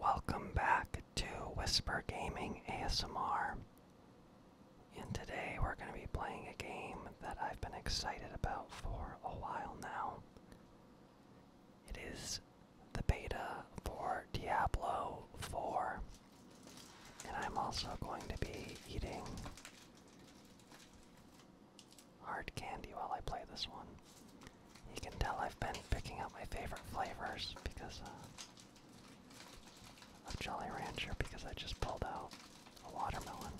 Welcome back to Whisper Gaming ASMR. And today we're going to be playing a game that I've been excited about for a while now. It is the beta for Diablo 4. And I'm also going to be eating hard candy while I play this one. You can tell I've been picking up my favorite flavors because uh, of Jolly Rancher because I just pulled out a watermelon.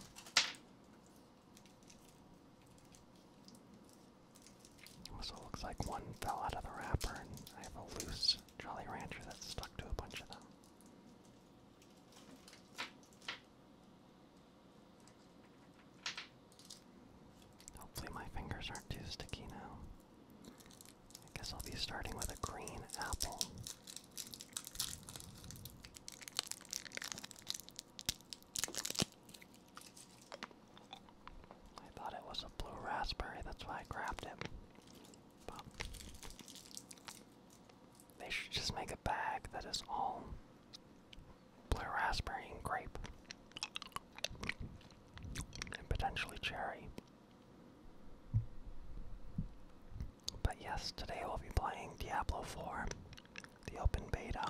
Also looks like one fell out of the wrapper and I have a loose Jolly Rancher that's stuck to a bunch of them. Hopefully, my fingers aren't too sticky now. I guess I'll be starting with a green apple. I thought it was a blue raspberry, that's why I grabbed it. they should just make a bag that is all blue raspberry and grape, and potentially cherry. But yes, today we'll be playing Diablo 4, the open beta.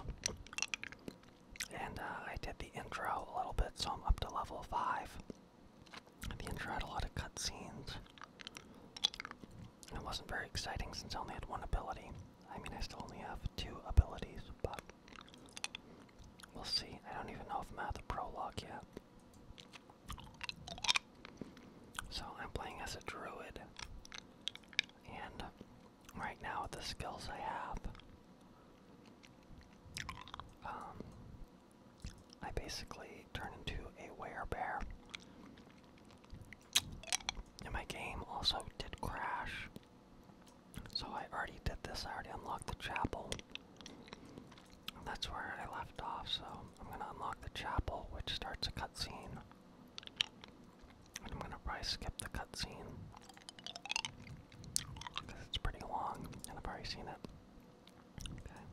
And uh, I did the intro a little bit, so I'm up to level 5. The intro had a lot of cutscenes. It wasn't very exciting since I only had one ability. I mean, I still only have two abilities, but We'll see. I don't even know if I'm at the prologue yet. So I'm playing as a druid. And right now the skills I have, um, I basically turn into a werebear. And my game also did crash so I already did this, I already unlocked the chapel. That's where I left off, so I'm gonna unlock the chapel, which starts a cutscene. I'm gonna probably skip the cutscene. Because it's pretty long, and I've already seen it. Okay.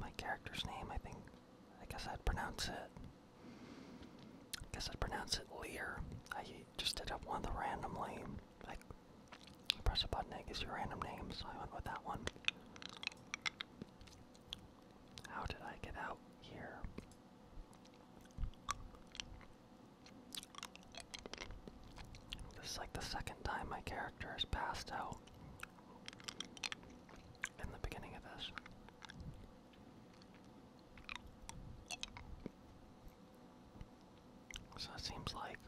My character's name, I think, I guess I'd pronounce it. I guess I'd pronounce it Lear. I just did up one of the randomly. Like, press a button, it gives you random names, so I went with that one. How did I get out here? This is like the second time my character has passed out in the beginning of this. So it seems like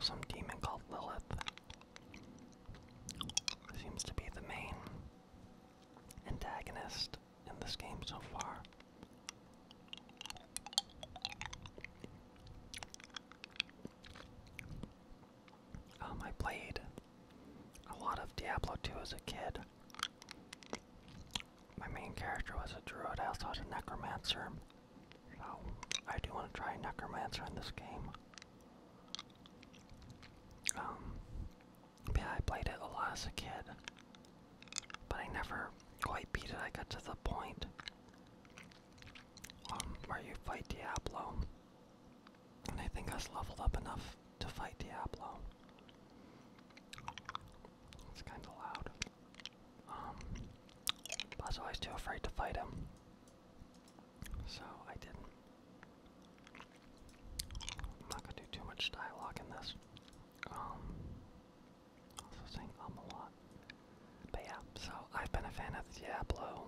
some demon called Lilith seems to be the main antagonist in this game so far. Um, I played a lot of Diablo 2 as a kid. My main character was a druid, I also a necromancer. I do want to try a necromancer in this game. Um, yeah, I played it a lot as a kid, but I never quite beat it. I got to the point um, where you fight Diablo. And I think I was leveled up enough to fight Diablo. It's kind of loud. Um, I was always too afraid to fight him, so I didn't. I'm not gonna do too much dialogue in this. Um, also saying um a lot. But yeah, so I've been a fan of the Diablo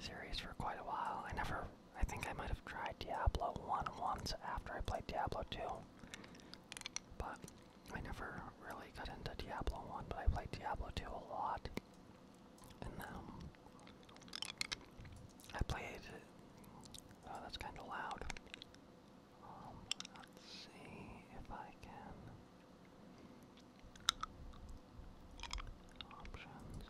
series for quite a while. I never, I think I might have tried Diablo 1 once after I played Diablo 2. But I never really got into Diablo 1, but I played Diablo 2 a lot. And um, I played, oh that's kind of loud. Um, let's see if I can. Options.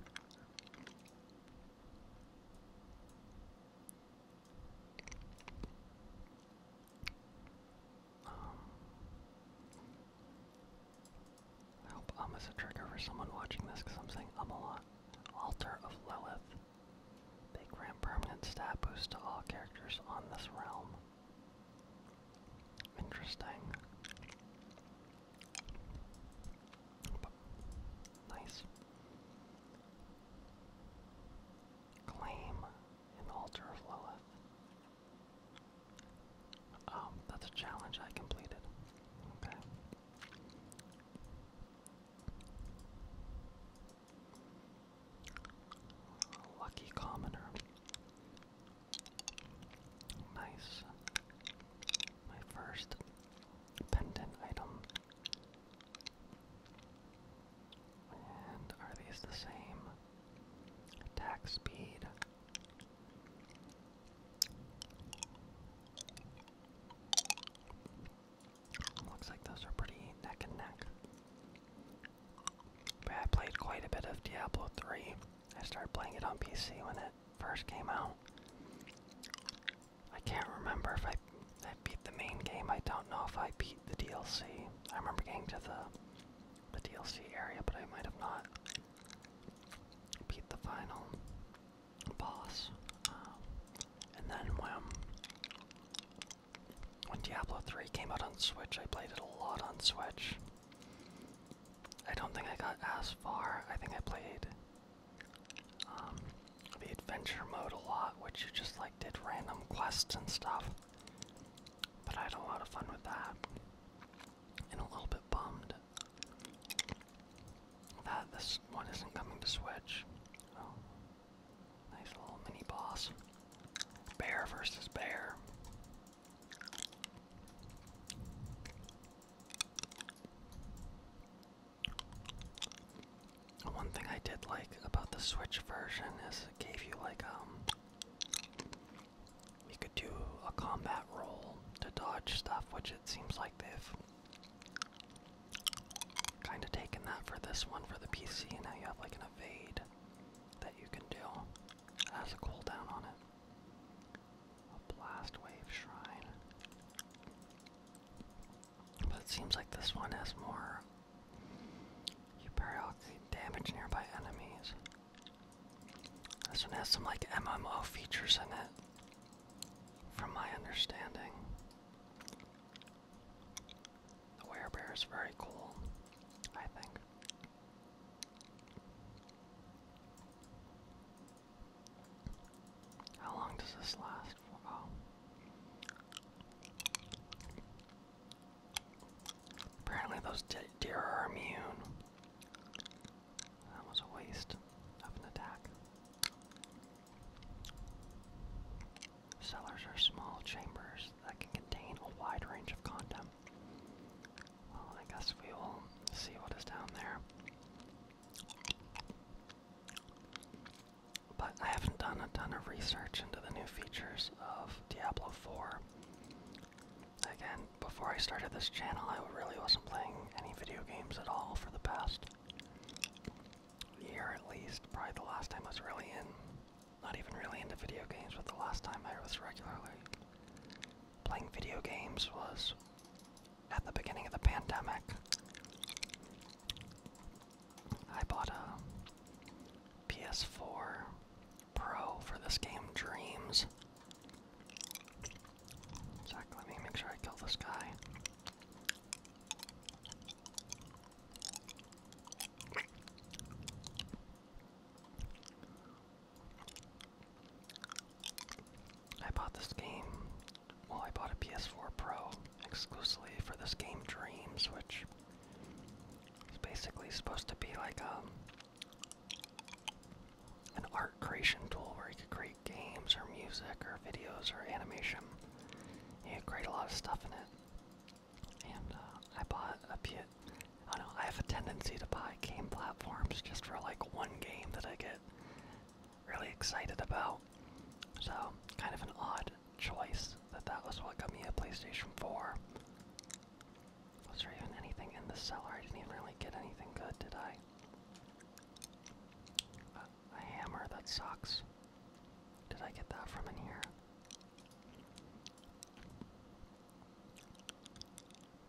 Um, I hope um is a trigger for someone watching this because I'm saying um Altar of Lilith. They grant permanent stat boost to all characters on this realm. Interesting. Nice. Claim an altar of Lilith. Oh, that's a challenge I completed. Okay. Lucky commoner. Nice. My first pendant item. And are these the same? Attack speed. Looks like those are pretty neck and neck. I played quite a bit of Diablo 3 I started playing it on PC when it first came out. I can't remember if I, beat the main game. I don't know if I beat the DLC. I remember getting to the, the DLC area, but I might have not beat the final boss. Um, and then when, when Diablo 3 came out on Switch, I played it a lot on Switch. I don't think I got as far. I think I played um, the adventure mode a lot, which you just like did random quests and stuff. But I had a lot of fun with that. And a little bit bummed that this one isn't coming to Switch. Oh, nice little mini boss. Bear versus bear. One thing I did like about the Switch version is it gave you like um you could do a combat roll to dodge stuff, which it seems like they've kind of taken that for this one for the PC, and now you have like an evade that you can do. That has a cooldown on it. A blast wave shrine. But it seems like this one has more. You periodically damage nearby enemies. This one has some like MMO features in it, from my understanding. The bear is very cool, I think. How long does this last oh. Apparently, those deer are immune. That was a waste of an attack. Cellars are small chambers that can contain a wide range of content. Well, I guess we will see what is down there. But I haven't done a ton of research into the new features of Diablo 4. Again, before I started this channel, I really wasn't playing any video games at all for the past year at least. Probably the last time I was really in, not even really into video games, but the last time I was regularly Playing video games was at the beginning of the pandemic. I bought a PS4 Pro for this game, Dreams. Zach, let me make sure I kill this guy. I bought this game. Well, I bought a PS4 Pro exclusively for this game Dreams, which is basically supposed to be like a, um, an art creation tool where you could create games or music or videos or animation. You could create a lot of stuff in it. And uh, I bought a PS I have a tendency to buy game platforms just for like one game that I get really excited about. So, kind of an odd choice that that was what got me a PlayStation 4. Was there even anything in the cellar? I didn't even really get anything good, did I? A hammer, that sucks. Did I get that from in here?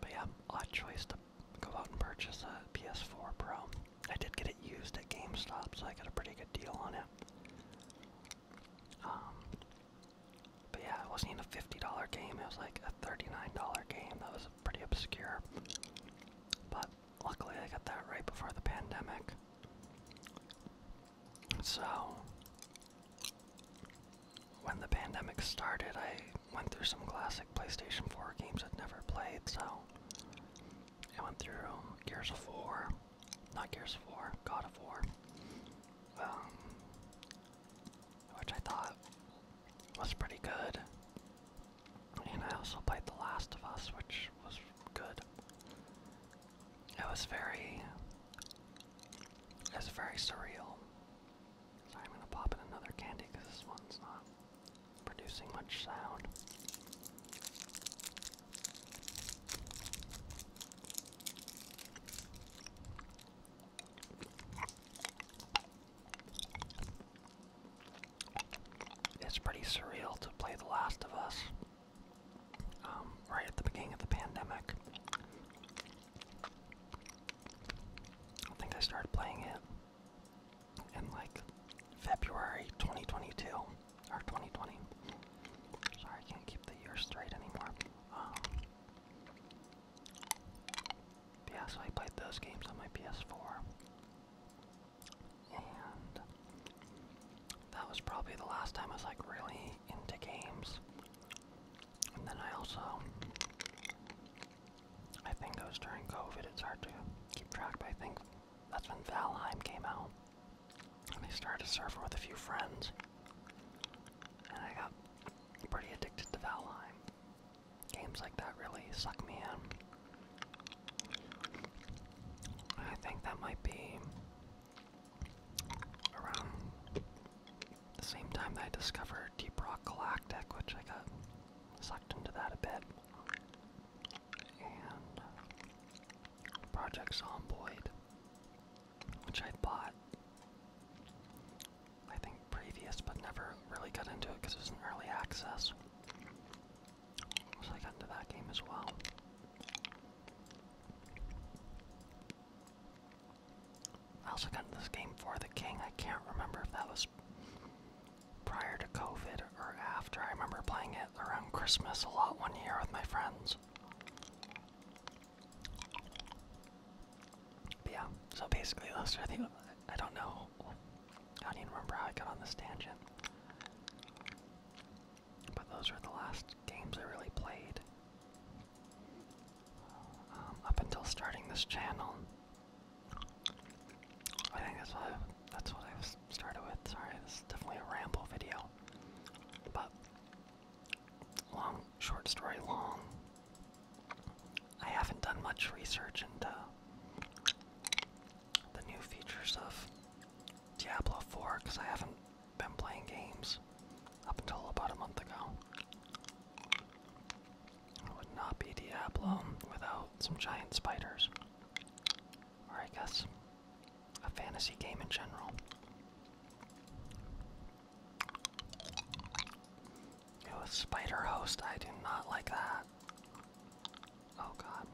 But yeah, odd choice to go out and purchase a PS4 Pro. I did get it used at GameStop, so I got a pretty good deal on it. Um, but yeah, it wasn't even a $50 game, it was like a $39 game that was pretty obscure. But luckily I got that right before the pandemic. So, when the pandemic started, I went through some classic PlayStation 4 games I'd never played, so I went through um, Gears of War, not Gears of War, God of War, um, which I thought was pretty good. And I also played The Last of Us, which was good. It was very, it was very surreal. I'm gonna pop in another candy because this one's not producing much sound. It's pretty surreal to play The Last of Us um, right at the beginning of the pandemic. I think I started playing it in like February 2022 or 2020. Sorry, I can't keep the year straight anymore. Um, yeah, so I played those games on my PS4. And that was probably the last time I was like really into games. And then I also, I think it was during COVID, it's hard to keep track, I think that's when Valheim came out. And I started a server with a few friends. And I got pretty addicted to Valheim. Games like that really suck me in. I think that might be around the same time that I discovered Deep Rock Galactic, which I got sucked into that a bit. And uh, Project Zomboid, which I bought, I think, previous, but never really got into it because it was an early access. So I got into that game as well. I also got this game for the King. I can't remember if that was prior to COVID or after. I remember playing it around Christmas a lot one year with my friends. yeah, so basically those are the I don't know. I don't even remember how I got on this tangent. But those were the last games I really played. Um, up until starting this channel. I think that's what i started with. Sorry, this is definitely a ramble video, but long, short story long. I haven't done much research into the new features of Diablo 4 because I haven't been playing games up until about a month ago. would not be Diablo without some giant spiders. Or I guess a fantasy game in general. It Spider Host, I do not like that. Oh god.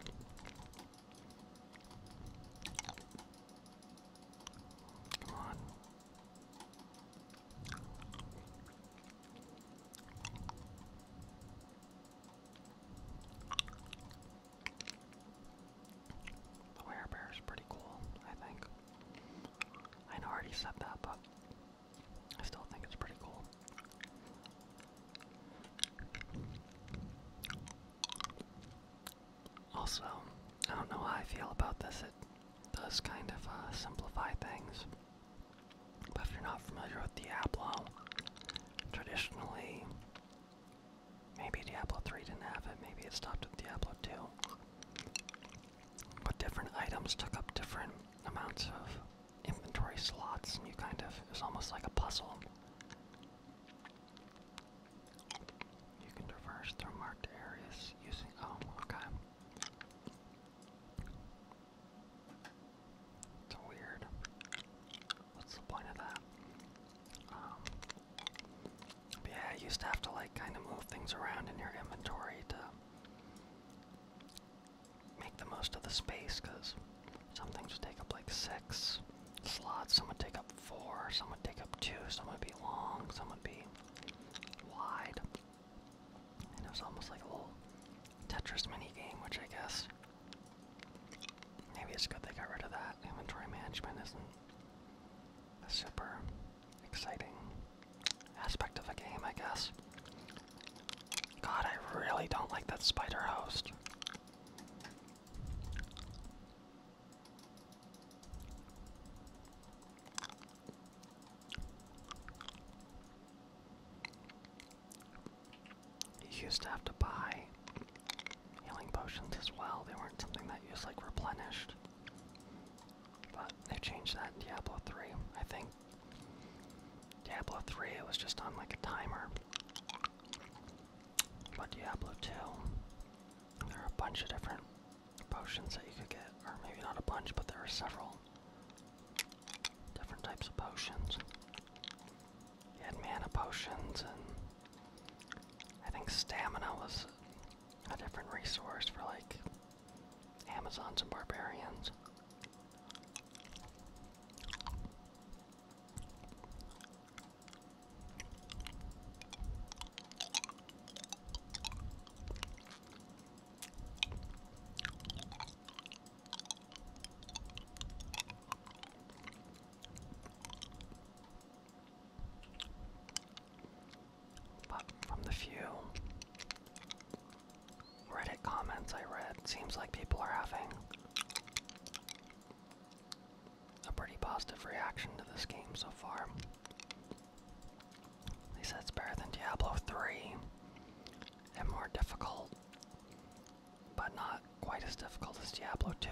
The werebear is pretty cool, I think. I know already said that, but I still think it's pretty cool. Also, I don't know how I feel about this does kind of uh, simplify things. But if you're not familiar with Diablo, traditionally, maybe Diablo 3 didn't have it, maybe it stopped at Diablo 2. But different items took up different amounts of inventory slots, and you kind of, it's almost like a puzzle. You can traverse through marked areas using, oh, okay. It's weird. What's the point of that? Um, yeah, I used to have to like kind of move things around in your inventory to make the most of the space because some things would take up like six slots, some would take up four, some would take up two, some would be long, some would be wide. it was almost like a little Tetris mini game, which I guess maybe it's good they got rid of that. Inventory management isn't a super exciting aspect of a game, I guess. God, I really don't like that spider host. You used to have to buy healing potions as well. They weren't something that you just like replenished. But they changed that in Diablo 3, I think. Diablo 3 it was just on like a timer. But Diablo 2, there are a bunch of different potions that you could get, or maybe not a bunch, but there are several different types of potions. You had mana potions, and I think stamina was a different resource for like Amazons and barbarians. But from the few Reddit comments I read, seems like people are having a pretty positive reaction to this game so far. At least that's better than Diablo 3 and more difficult, but not quite as difficult as Diablo 2.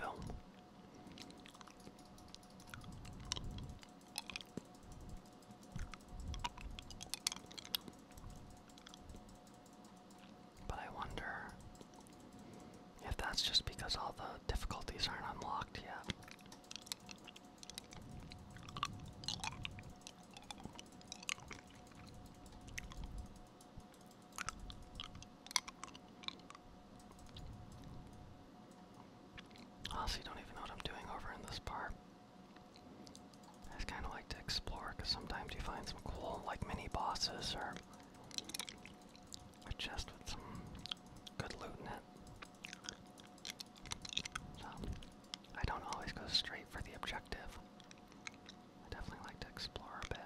But I wonder if that's just because all the difficulties aren't unlocked yet. Honestly, don't even know what I'm doing over in this bar. I just kind of like to explore because sometimes you find some cool, like mini bosses or a chest with some good loot in it. I don't always go straight for the objective. I definitely like to explore a bit.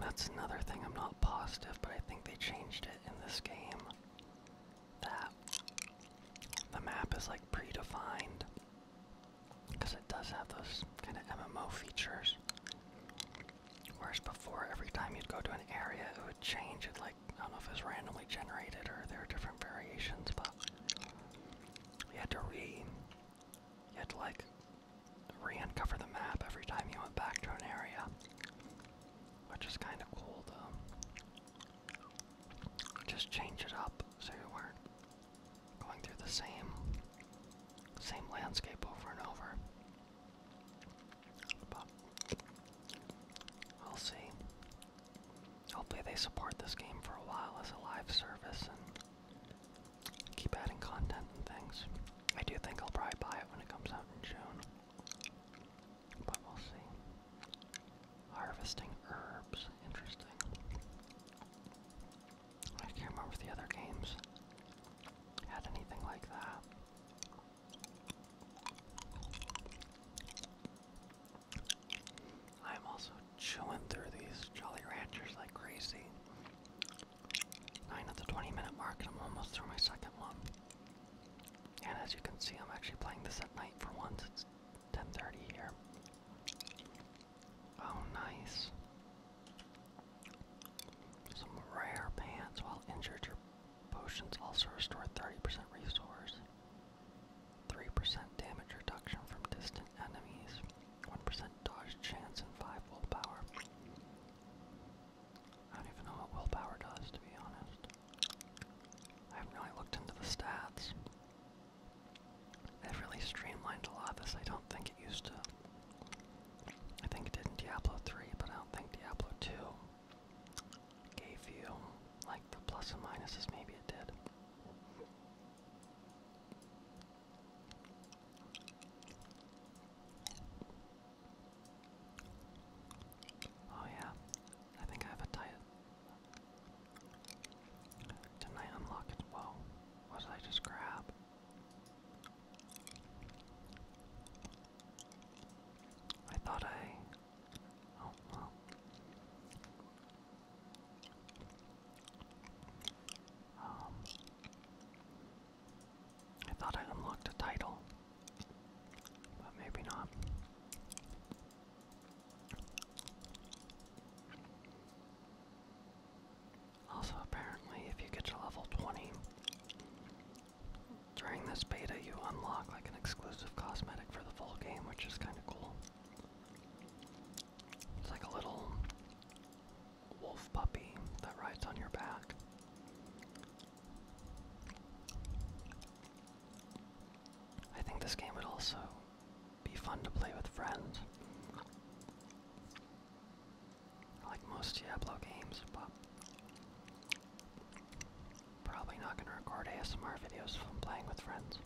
that's another thing I'm not positive, but I think they changed it in this game. That the map is like predefined because it does have those kind of MMO features. Whereas before, every time you'd go to an area, it would change. It like I don't know if it's randomly generated or there are different variations, but you had to re, you had to like re-uncover the map every time you went back to an area, which is kind of cool. Though. Just change it up so you weren't Going through the same same landscape over and over. But we'll see. Hopefully they support this game for a while as a live service and keep adding content and things. I do think I'll probably buy it when it comes out in June. But we'll see. Harvesting herbs, interesting. I can't remember if the other games had anything like that. I'm also chewing through these Jolly Ranchers like crazy. 9 at the 20 minute mark, and I'm almost through my second one. And as you can see, I'm actually playing this at night for once. It's 10:30 here. Oh, nice. Some rare pants. While injured, your potions also restore 30% resource, 3% damage reduction from distant enemies, 1% dodge chance, and 5 willpower. I don't even know what willpower does, to be honest. I haven't really looked into the stats. They've really streamlined a lot this. I don't think it used to I think it did in Diablo 3, but I don't think Diablo 2 gave you like the plus and minuses, maybe it did. Oh, yeah, I think I have a title. did I unlock it? Whoa, what did I just grab? I thought I. Oh, well. Um, I thought I unlocked a title, but maybe not. Also, apparently, if you get to level 20, during this beta, you unlock like an exclusive cosmetic for the full game, which is kind of cool. It's like a little wolf puppy that rides on your back. I think this game would also be fun to play with friends. Like most Diablo games, but probably not going to record ASMR videos if I'm playing with friends.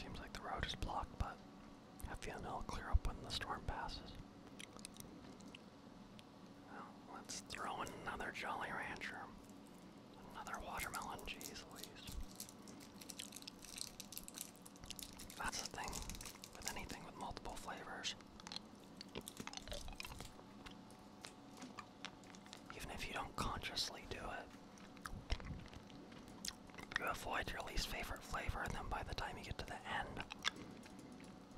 Seems like the road is blocked, but I feel it'll clear up when the storm passes. let's throw in another Jolly Rancher. Another watermelon, jeez Louise. That's the thing with anything with multiple flavors. Even if you don't consciously do it, you avoid your least favorite flavor, and then by the time you get to the end,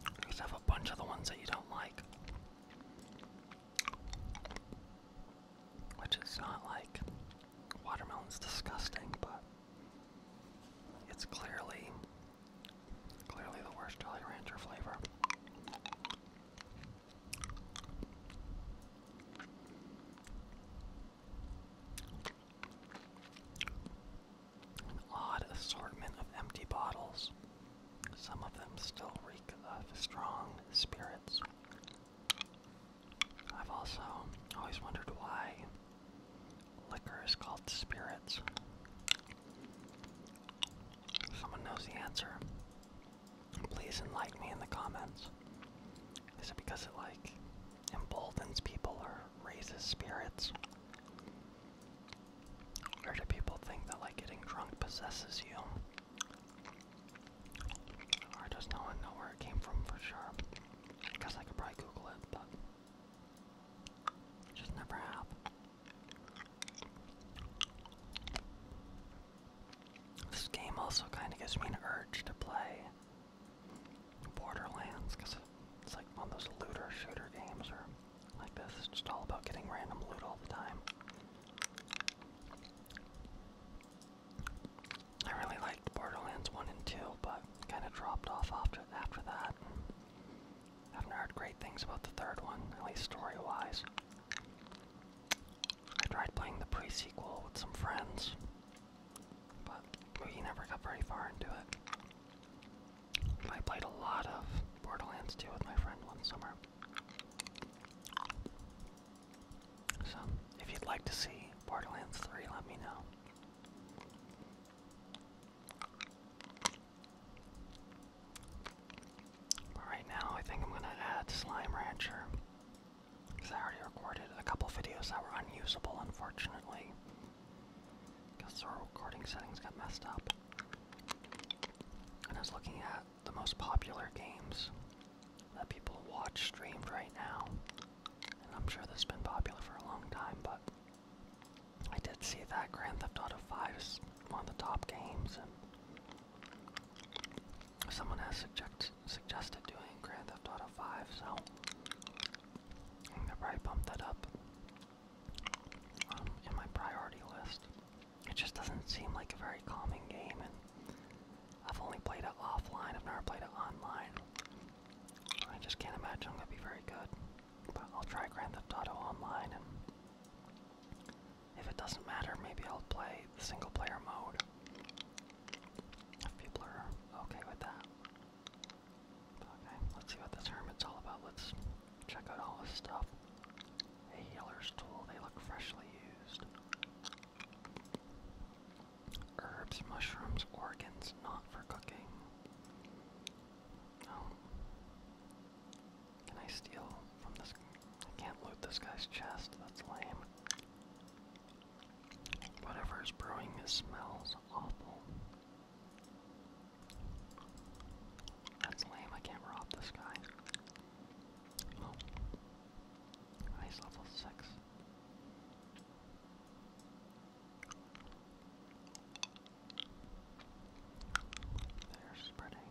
you just have a bunch of the ones that you don't like. Which is not like watermelon's disgusting, but it's clearly clearly the worst Jolly Rancher flavor. An odd assortment of empty bottles. Some of them still reek of strong spirits. I've also always wondered why liquor is called spirits. If someone knows the answer. Please enlighten me in the comments. Is it because it like emboldens people or raises spirits. Or do people think that like getting drunk possesses you? Or does no one know where it came from for sure? I I could probably Google it, but just never have. This game also kind of gives me an urge to play Borderlands, because it's like on those looter shooter games or like this. It's just all about getting random loot all the time. I really liked Borderlands 1 and 2, but kind of dropped off after, after that. haven't heard great things about the third one, at least story-wise. I tried playing the prequel with some friends, but we never got very far into it. I played a lot of Borderlands 2 with my friend one summer. So, if you'd like to see Borderlands 3, let me know. right now, I think I'm gonna add Slime Rancher. Because I already recorded a couple videos that were unusable, unfortunately. Guess our recording settings got messed up. And I was looking at the most popular games that people watch streamed right now. And I'm sure this has been popular for a long time, but I did see that Grand Theft Auto 5 is one of the top games, and someone has suggest suggested doing Grand Theft Auto 5, so I'm gonna probably bump that up um, in my priority list. It just doesn't seem like a very calming game, and I've only played it offline. I've never played it online. I just can't imagine I'm gonna be very good. But I'll try Grand the Auto online, and if it doesn't matter, maybe I'll play the single player mode. If people are okay with that. Okay, let's see what this hermit's all about. Let's check out all his stuff. A healer's tool, they look freshly used. Herbs, mushrooms, organs, not for cooking. Oh. Can I steal from this? I can't loot this guy's chest, that's lame. Whatever is brewing, it smells awful. That's lame, I can't rob this guy. Oh. level 6. They're spreading.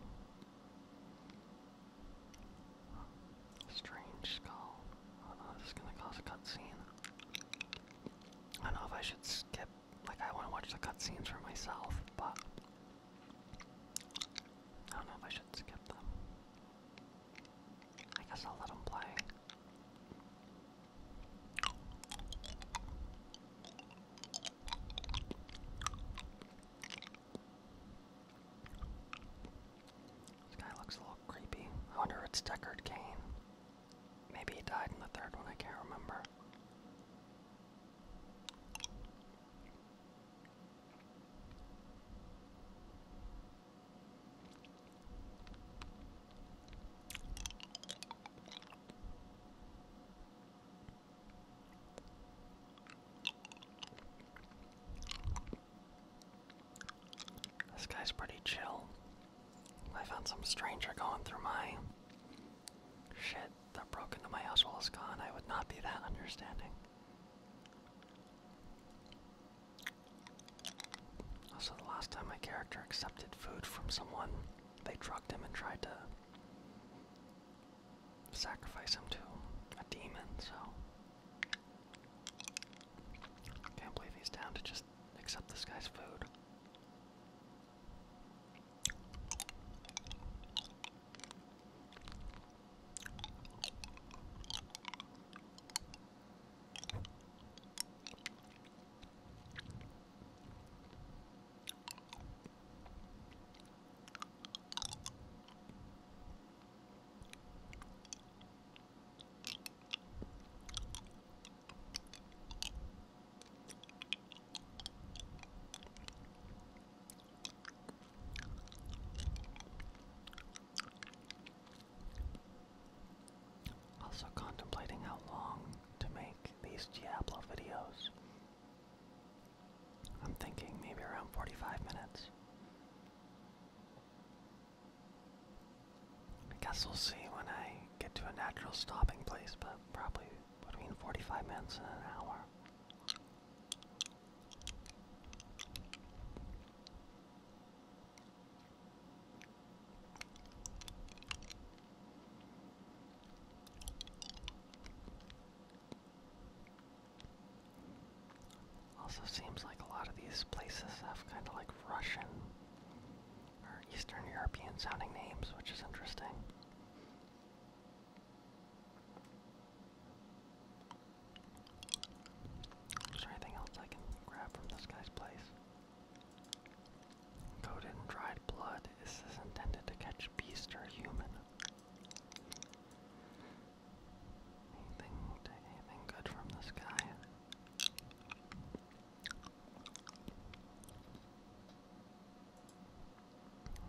Strange skull. Uh, this is gonna cause a cutscene. I don't know if I should skip. Like, I want to watch the cutscenes for myself, but I don't know if I should skip them. I guess I'll let them play. This guy looks a little creepy. I wonder if it's Deckard Kane. Maybe he died in the third one, I can't remember. This guy's pretty chill. I found some stranger going through my shit that broke into my house while it's gone. I would not be that understanding. Also, the last time my character accepted food from someone, they drugged him and tried to sacrifice him to a demon, so. Can't believe he's down to just accept this guy's food. Also contemplating how long to make these Diablo videos. I'm thinking maybe around 45 minutes. I guess we'll see when I get to a natural stopping place, but probably between 45 minutes and an hour. Also seems like a lot of these places have kind of like Russian Eastern European sounding names, which is interesting. Is there anything else I can grab from this guy's place? Coated in dried blood. Is this intended to catch beast or human? Anything, anything good from this guy?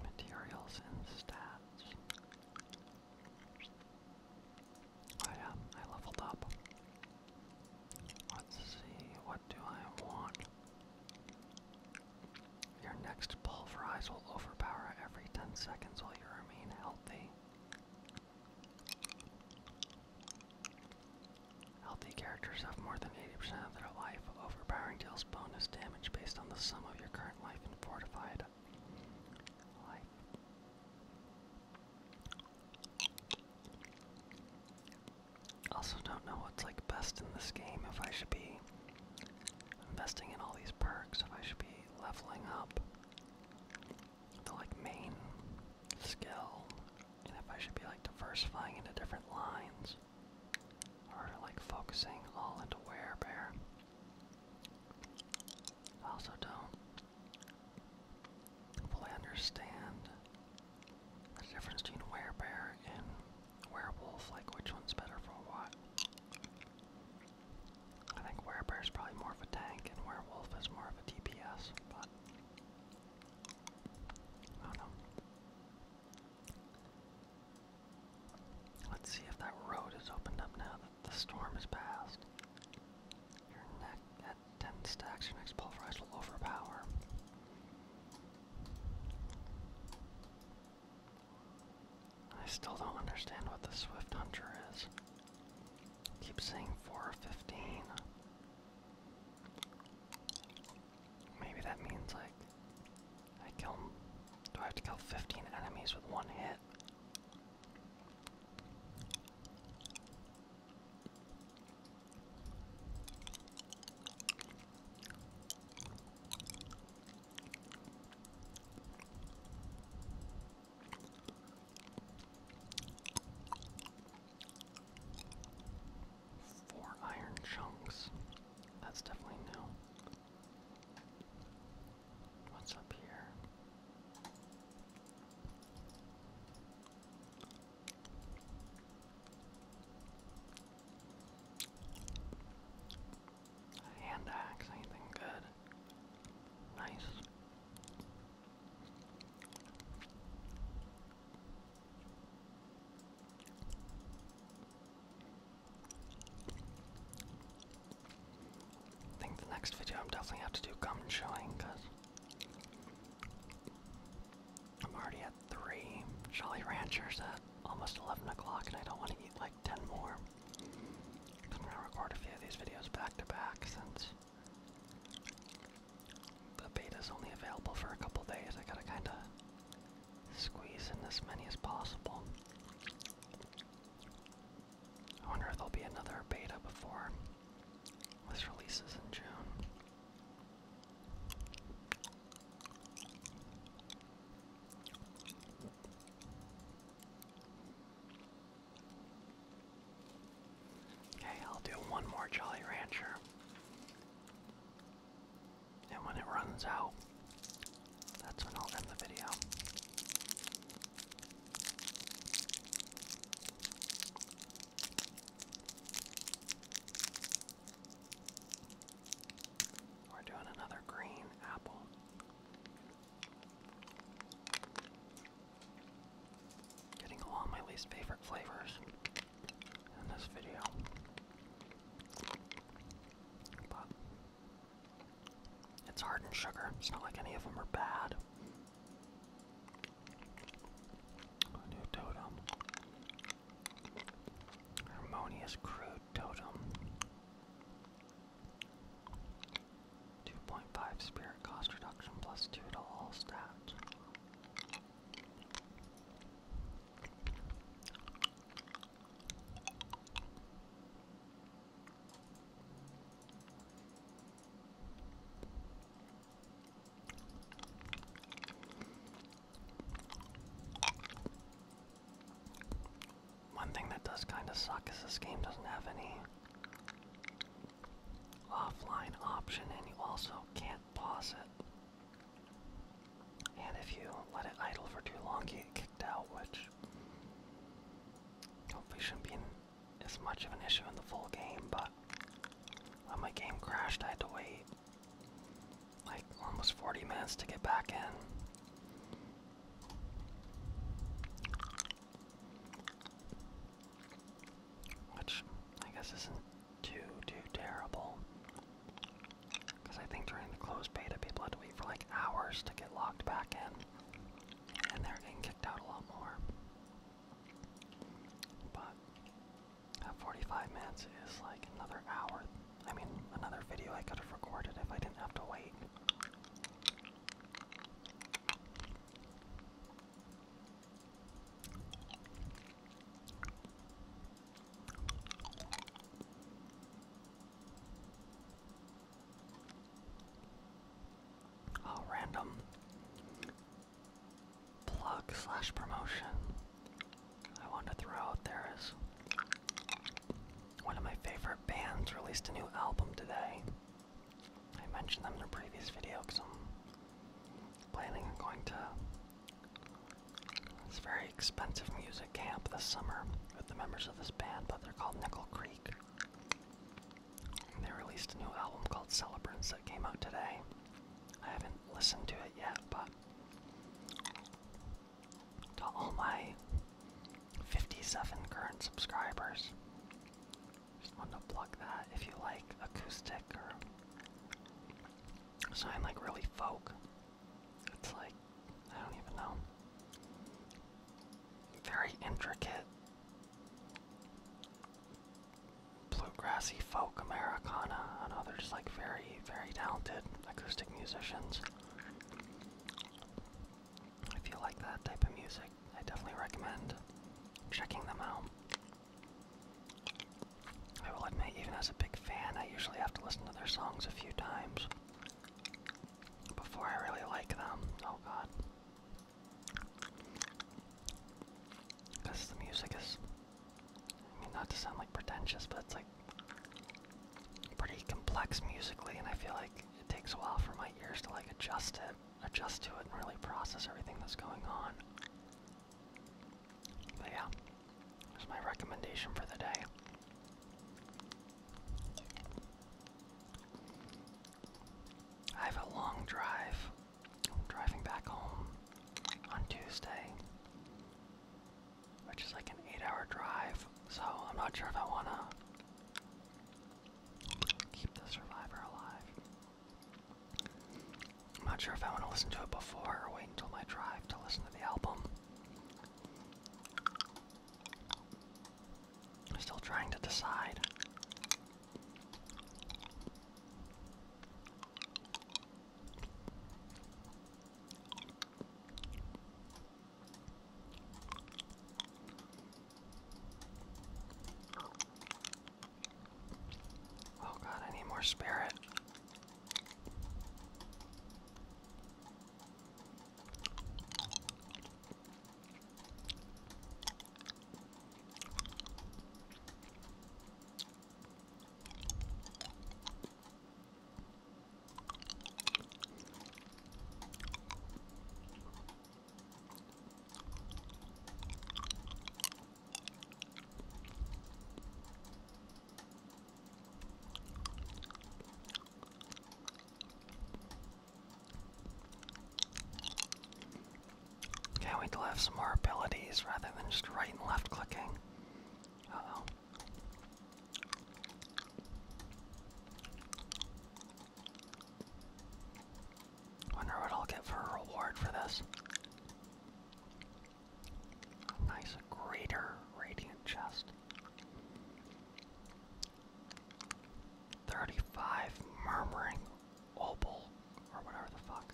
Materials and stats. Oh yeah, I leveled up. Let's see, what do I want? Your next pulverize will overpower every 10 seconds while you remain healthy. Healthy characters have more than 80% of their life. Overpowering deals bonus damage based on the sum of your current life and fortified Also don't know what's like best in this game, if I should be investing in all these perks, if I should be leveling up the like main skill and if I should be like diversifying into different lines or like focusing all into werebear. I also don't fully understand the difference between werebear and werewolf, like which one's better for what. I think werebear's probably more of a tank and werewolf is more of a DPS, but Oh, Let's see if that road is opened up now that the storm has passed. Your neck 10 stacks, your next pulverize will overpower. I still don't understand what the Swift Hunter is. Keep saying four fifteen. Maybe that means like I kill Do I have to kill 15 enemies with one hit? Four iron chunks. That's definitely new. What's up here? A anything good? Nice. I think the next video I'm definitely have to do gum chewing because I'm already at three Jolly Ranchers at almost 11 o'clock and I don't want to eat like 10 more. I'm going to record a few of these videos back to back since the beta is only available for a couple days. I gotta kinda squeeze in as many as possible. I wonder if there'll be another beta before this releases in June. Okay, I'll do one more Jolly Rancher. And when it runs out, that's when I'll end the video. We're doing another green apple. Getting all my least favorite flavors in this video. But it's hardened sugar. It's not like any of them are bad. new totem. Harmonious crude totem. 2.5 spirit cost reduction plus 2 to all stats. One thing that does kind of suck is this game doesn't have any offline option and you also can't pause it. And if you let it idle for too long, you get kicked out, which hopefully shouldn't be as much of an issue in the full game, but when my game crashed, I had to wait like almost 40 minutes to get back in. Which I guess isn't too, too terrible. Because I think during the closed beta, people had to wait for like hours to get locked back in. And they're getting kicked out a lot more. But at 45 minutes is like another hour. I mean, another video I could have recorded if I didn't have to wait. Oh, random plug slash promotion I want to throw out there is one of my favorite bands released a new album today. I mentioned them in a previous video because I'm planning on going to this very expensive music camp this summer with the members of this band, but they're called Nickel Creek. they released a new album called Celebrants that came out today. I haven't listened to it yet, but to all my 57 current subscribers, just wanted to plug that if you like acoustic or something like really folk. It's like, I don't even know. Very intricate, bluegrassy folk Americana. and others like very, very talented acoustic musicians. If you like that type of music, I definitely recommend checking them out. I will admit, even as a big fan, I usually have to listen to their songs a few times before I really like them. Oh god. Because the music is. I mean, not to sound like pretentious, but it's like pretty complex musically, and I feel like it takes a while for my ears to like adjust adjust to it and really process everything that's going on. But yeah, there's my recommendation for the day. I have a long drive. driving back home on Tuesday, which is like an eight hour drive, so I'm not sure if I want to keep the survivor alive. I'm not sure if I want to listen to it before or wait until my drive to listen to the album. I'm still trying to decide. Oh god, I need more spirit. Can't wait to have some more abilities rather than just right and left clicking. oh. Wonder what I'll get for a reward for this. Nice, greater radiant chest. 35 murmuring opal, or whatever the fuck.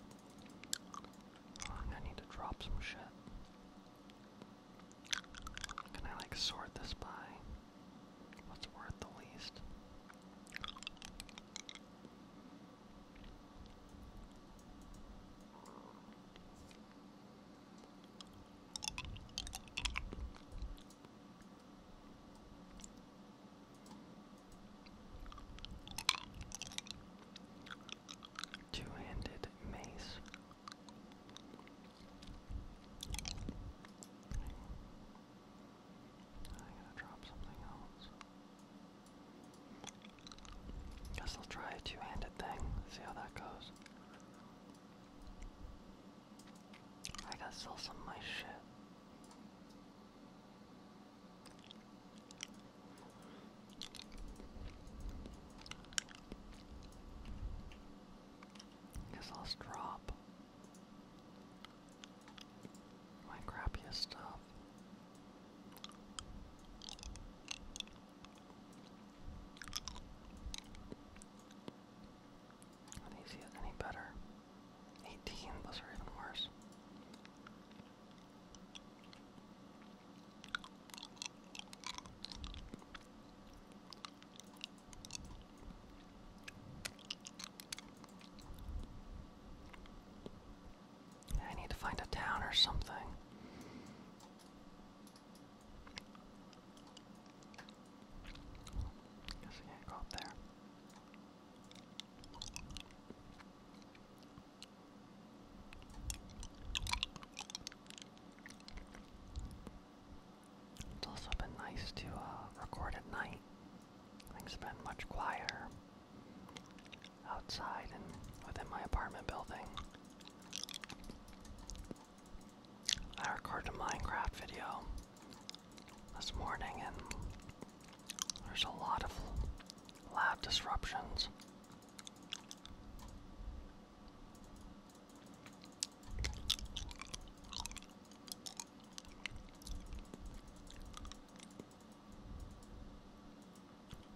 Oh, i need to drop some shit. Can I like sort this by what's worth the least? Two-handed mace i Guess I'll try a two-handed thing, see how that goes. I gotta sell some of my shit. Guess I'll drop my crappiest stuff. How easy is any better? 18, those even worse. I need to find a town or something. Guess I can't go up there. It's also been nice to uh, record at night. Things have been much quieter outside and within my apartment building. I recorded a Minecraft video this morning and there's a lot of loud disruptions.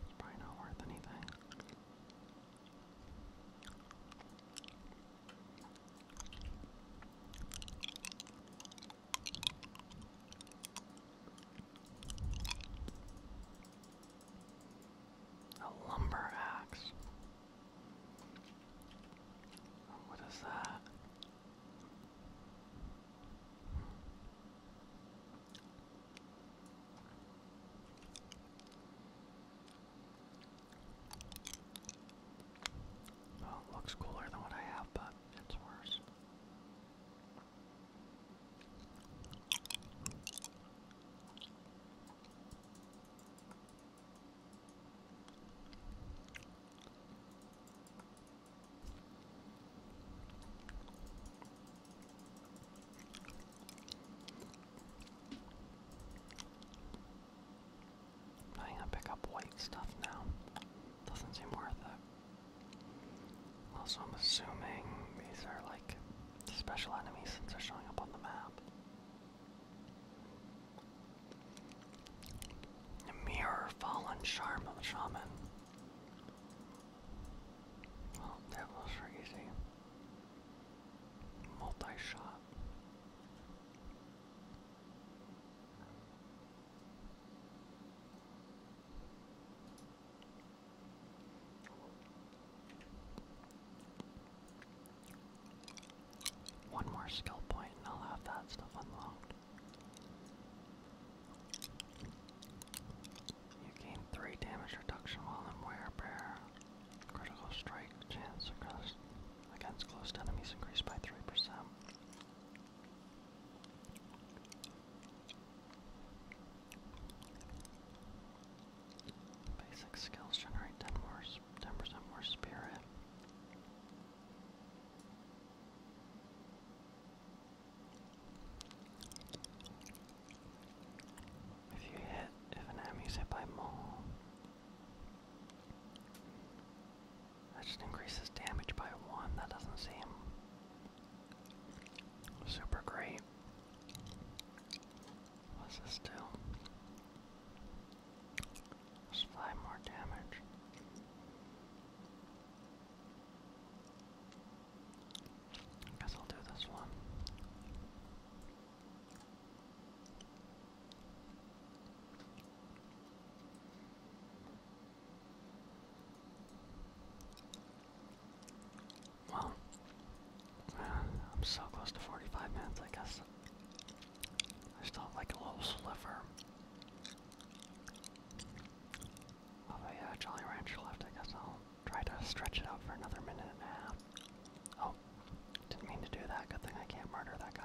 It's probably not worth anything. A lumber axe. What is that? Well, it looks cooler than what I have, but it's worse. I'm gonna pick up white stuff now. Doesn't seem worth it. Also, I'm assuming these are like special enemies since they're showing up on the map. Mirror Fallen Shaman. Well, that was easy. Multi-shot. One more skill point and I'll have that stuff unlocked. You gain 3 damage reduction while in wear bear. Critical strike chance against close enemies increased by 3%. Basic skills generate 10 more, 10 more spirit. If you hit, if an enemy's hit by Maul, that just increases damage by one. That doesn't seem super great. What's this do? Just five more damage. I guess I'll do this one. Well, uh, I'm so close to 45 minutes, I guess. I still like a little sliver Although yeah, Jolly Rancher left, I guess I'll try to stretch it out for another minute and a half. Oh, didn't mean to do that. Good thing I can't murder that guy.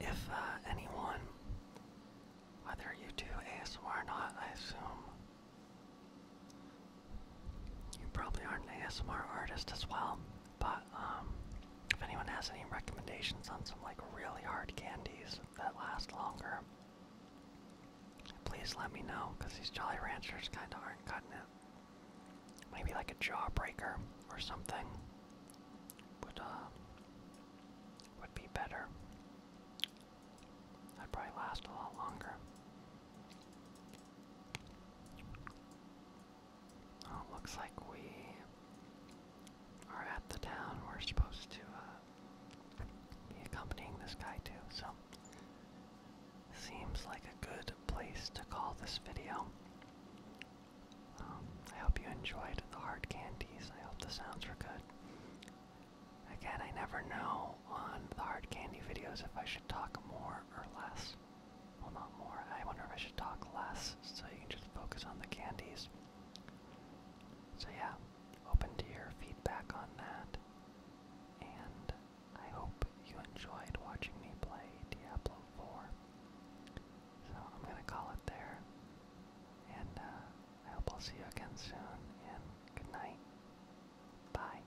If uh, anyone, whether you do ASMR or not, I assume you probably aren't an ASMR artist as well. But um, if anyone has any recommendations on some like really hard candies that last longer, please let me know because these Jolly Ranchers kind of aren't cutting it. Maybe like a Jawbreaker or something would uh, would be better. i probably last a lot longer. Oh, looks like we are at the town we're supposed to uh, be accompanying this guy to, so seems like a good place to call this video. Um, I hope you enjoyed the hard candies. I hope the sounds were good. Again, I never know on the hard candy videos if I should talk more or less. Well, not more. I wonder if I should talk less so you can just focus on the candies. So, yeah, open to your feedback on that. And I hope you enjoyed watching me play Diablo 4. So, I'm going to call it there. And uh, I hope I'll see you again soon. And good night. Bye.